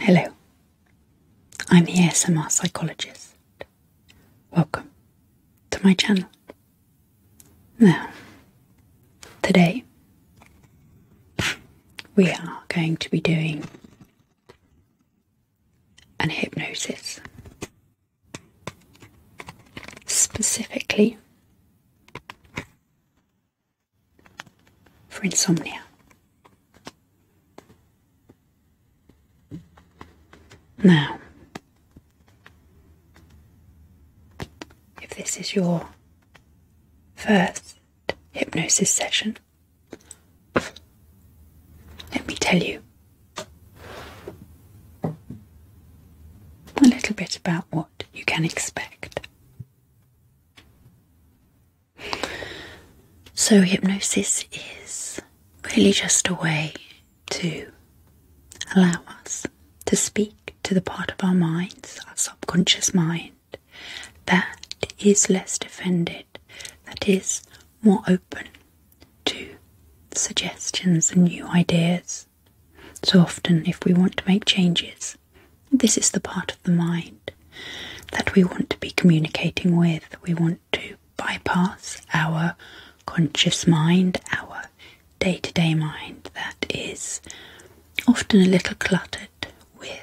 Hello, I'm the ASMR psychologist. Welcome to my channel. Now, today we are going to be doing an hypnosis, specifically for insomnia. Now, if this is your first hypnosis session, let me tell you a little bit about what you can expect. So, hypnosis is really just a way to allow us to speak to the part of our minds, our subconscious mind, that is less defended, that is more open to suggestions and new ideas. So often, if we want to make changes, this is the part of the mind that we want to be communicating with. We want to bypass our conscious mind, our day to day mind that is often a little cluttered with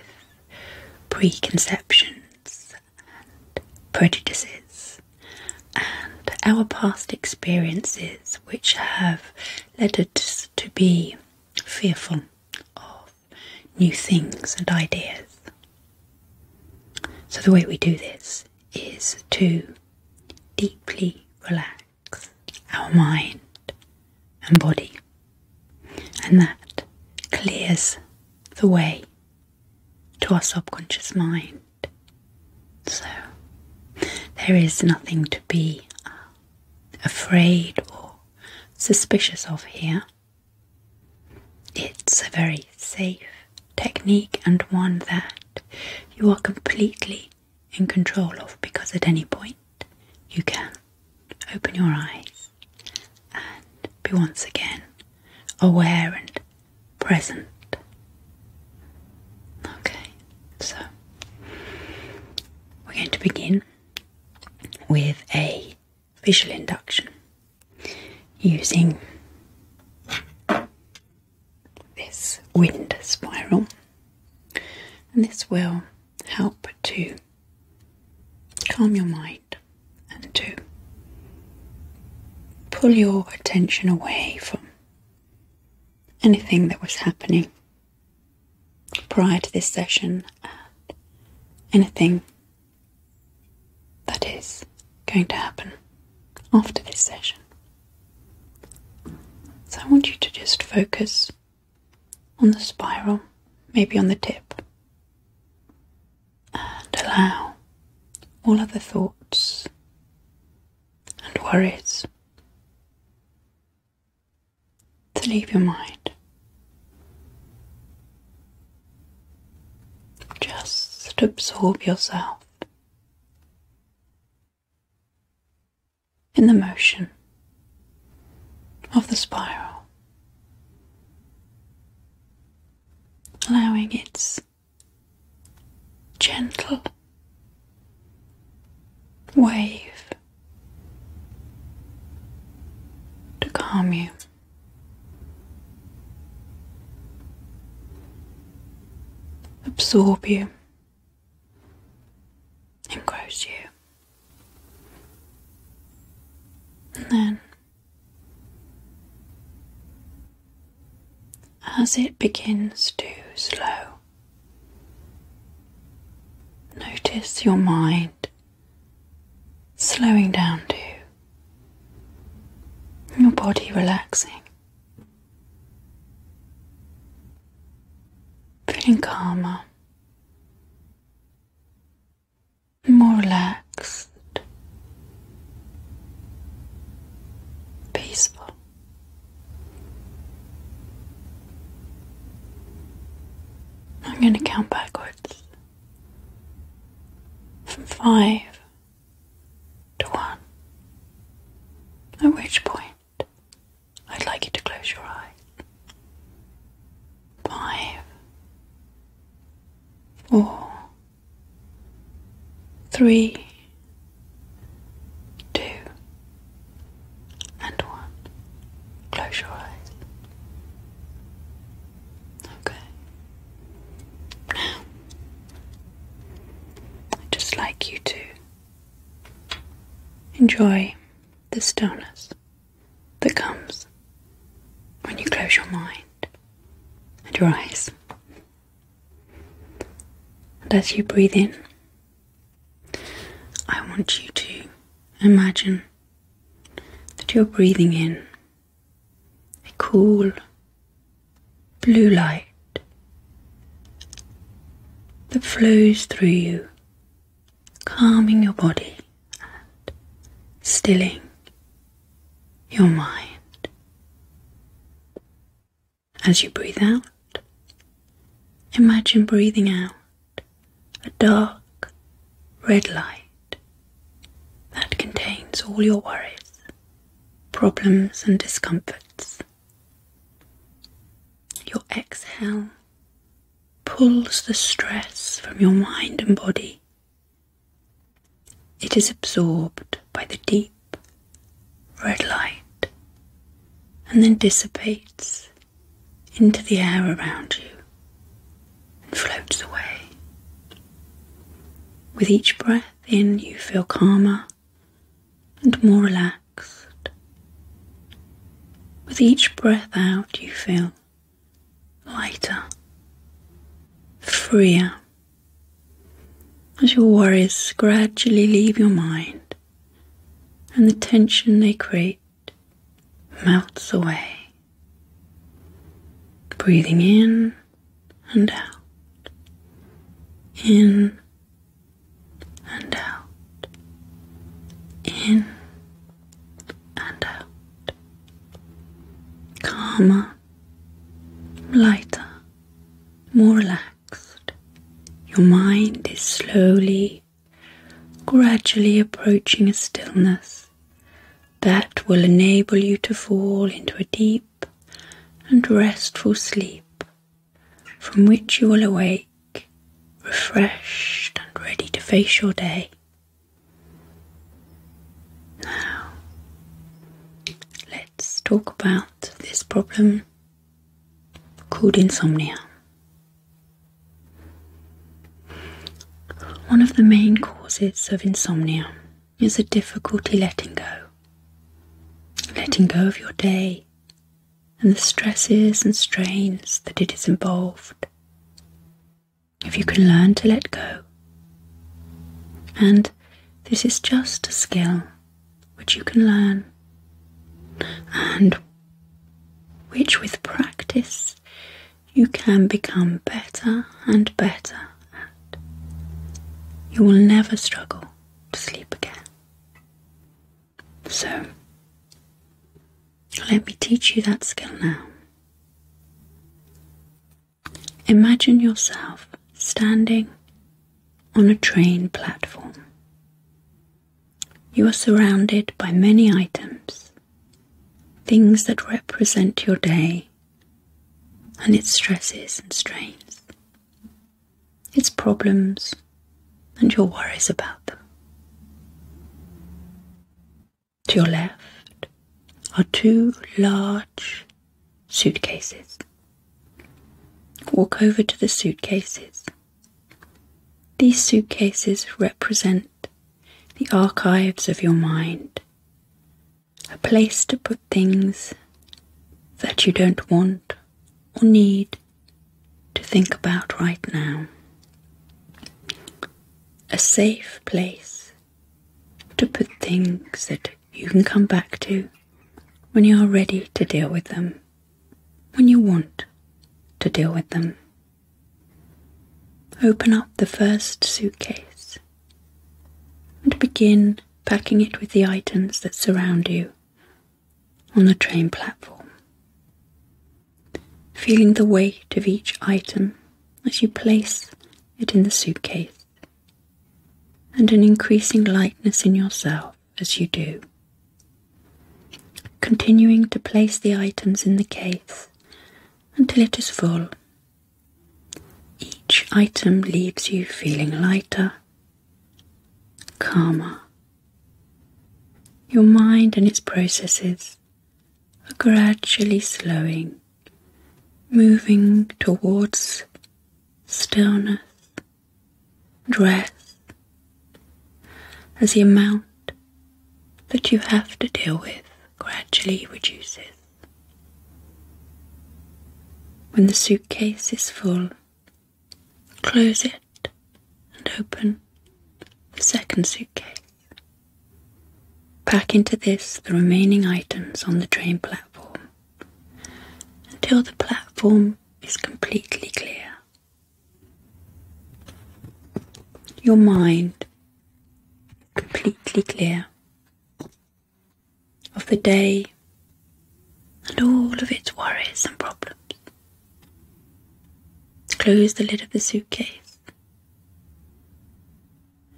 preconceptions and prejudices and our past experiences which have led us to be fearful of new things and ideas. So, the way we do this is to deeply relax our mind and body, and that clears the way to our subconscious mind. So, there is nothing to be afraid or suspicious of here. It's a very safe technique and one that you are completely in control of because at any point you can open your eyes and be once again aware and present. Okay, so we're going to begin with a visual induction using this wind spiral, and this will help to calm your mind and to pull your attention away from anything that was happening prior to this session at anything that is going to happen after this session. So I want you to just focus on the spiral, maybe on the tip, and allow all other thoughts and worries to leave your mind. Just absorb yourself in the motion of the spiral, allowing its gentle wave to calm you. Absorb you, engross you, and then as it begins to slow Notice your mind slowing down too. your body relaxing, feeling calmer, more relaxed, peaceful. I'm going to count backwards from five to one, at which point I'd like you to close your eyes. Five, four, three, two, and one. Close your eyes. Okay. Now, I'd just like you to enjoy the stillness that comes when you close your mind and your eyes. And as you breathe in I want you to imagine that you're breathing in a cool blue light that flows through you, calming your body and stilling your mind. As you breathe out, imagine breathing out a dark red light that contains all your worries, problems, and discomforts. Your exhale pulls the stress from your mind and body. It is absorbed by the deep red light, and then dissipates into the air around you and floats away. With each breath in, you feel calmer and more relaxed. With each breath out, you feel lighter, freer, as your worries gradually leave your mind and the tension they create melts away, breathing in and out, in and out, in and out, calmer, lighter, more relaxed. Your mind is slowly, gradually approaching a stillness that will enable you to fall into a deep and restful sleep from which you will awake refreshed and ready to face your day. Now, let's talk about this problem called insomnia. One of the main causes of insomnia is a difficulty letting go, letting go of your day and the stresses and strains that it is involved. If you can learn to let go, and this is just a skill which you can learn, and which with practice you can become better and better at. You will never struggle to sleep again. So, let me teach you that skill now. Imagine yourself standing on a train platform. You are surrounded by many items, things that represent your day and its stresses and strains, its problems and your worries about them. To your left are two large Suitcases. Walk over to the suitcases. These suitcases represent the archives of your mind, a place to put things that you don't want or need to think about right now. A safe place to put things that you can come back to when you are ready to deal with them, when you want to deal with them. Open up the first suitcase and begin packing it with the items that surround you on the train platform. Feeling the weight of each item as you place it in the suitcase and an increasing lightness in yourself as you do. Continuing to place the items in the case until it is full. Each item leaves you feeling lighter, calmer. Your mind and its processes are gradually slowing moving towards stillness and rest as the amount that you have to deal with gradually reduces. When the suitcase is full, close it and open the second suitcase. Pack into this the remaining items on the train platform until the platform is completely clear. Your mind completely clear of the day and all of its worries and problems. Close the lid of the suitcase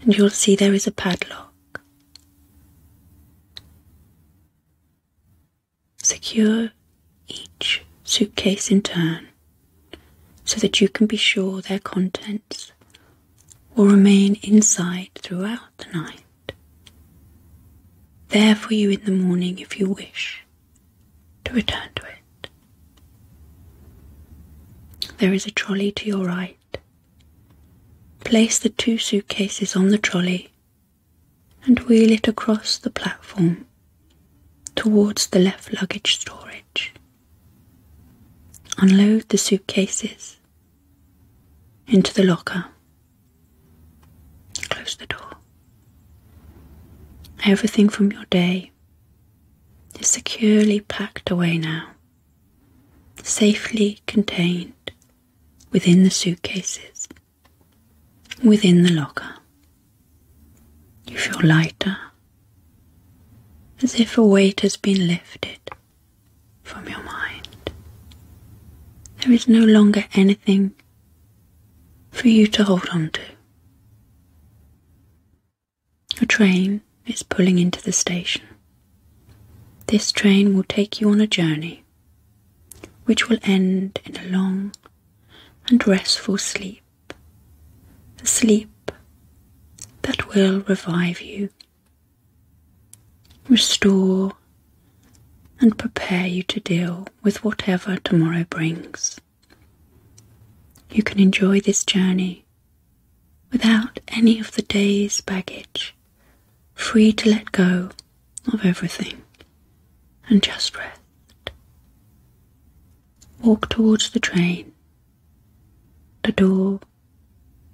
and you'll see there is a padlock. Secure each suitcase in turn so that you can be sure their contents will remain inside throughout the night. There for you in the morning if you wish to return to it. There is a trolley to your right Place the two suitcases on the trolley and wheel it across the platform towards the left luggage storage. Unload the suitcases into the locker. Close the door. Everything from your day is securely packed away now safely contained within the suitcases, within the locker. You feel lighter, as if a weight has been lifted from your mind. There is no longer anything for you to hold on to. A train is pulling into the station. This train will take you on a journey which will end in a long and restful sleep, a sleep that will revive you, restore, and prepare you to deal with whatever tomorrow brings. You can enjoy this journey without any of the day's baggage, free to let go of everything and just rest. Walk towards the train. The door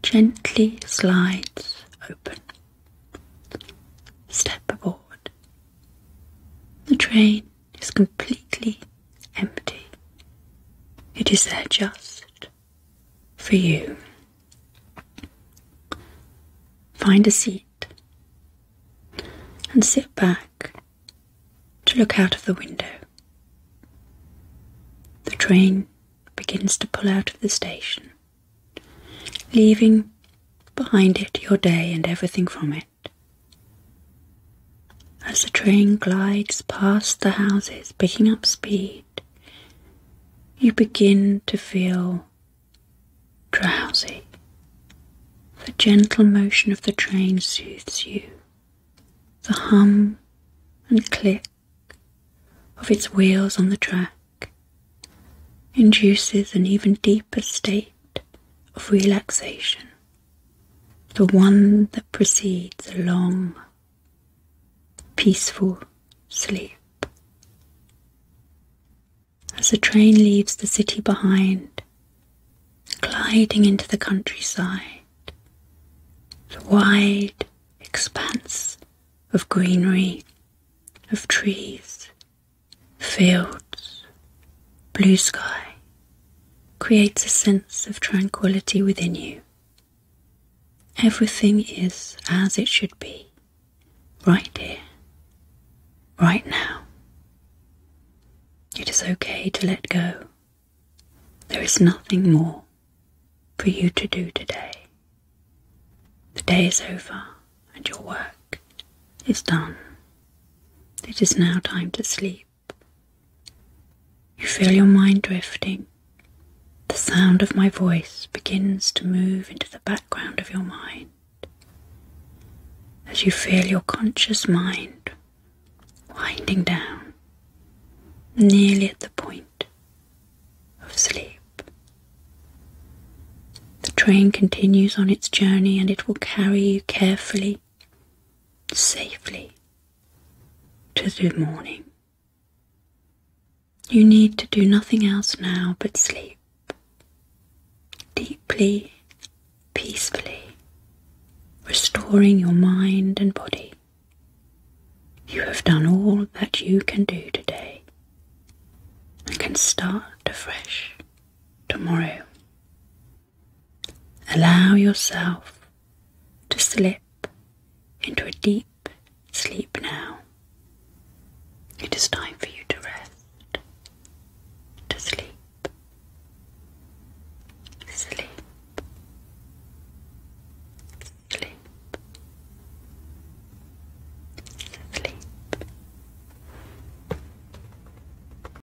gently slides open. Step aboard. The train is completely empty. It is there just for you. Find a seat and sit back to look out of the window. The train begins to pull out of the station, leaving behind it your day and everything from it as the train glides past the houses, picking up speed, you begin to feel drowsy. The gentle motion of the train soothes you. The hum and click of its wheels on the track induces an even deeper state of relaxation the one that precedes a long, peaceful sleep. As the train leaves the city behind, gliding into the countryside, the wide expanse of greenery, of trees, fields, blue sky, creates a sense of tranquility within you. Everything is as it should be, right here, right now. It is okay to let go. There is nothing more for you to do today. The day is over and your work is done. It is now time to sleep. You feel your mind drifting. The sound of my voice begins to move into the background of your mind. As you feel your conscious mind winding down, nearly at the point of sleep. The train continues on its journey and it will carry you carefully safely to the morning. You need to do nothing else now but sleep deeply, peacefully, restoring your mind and body. You have done all that you can do today and can start afresh tomorrow Allow yourself to slip into a deep sleep now. It is time for you to rest, to sleep, sleep, sleep, sleep.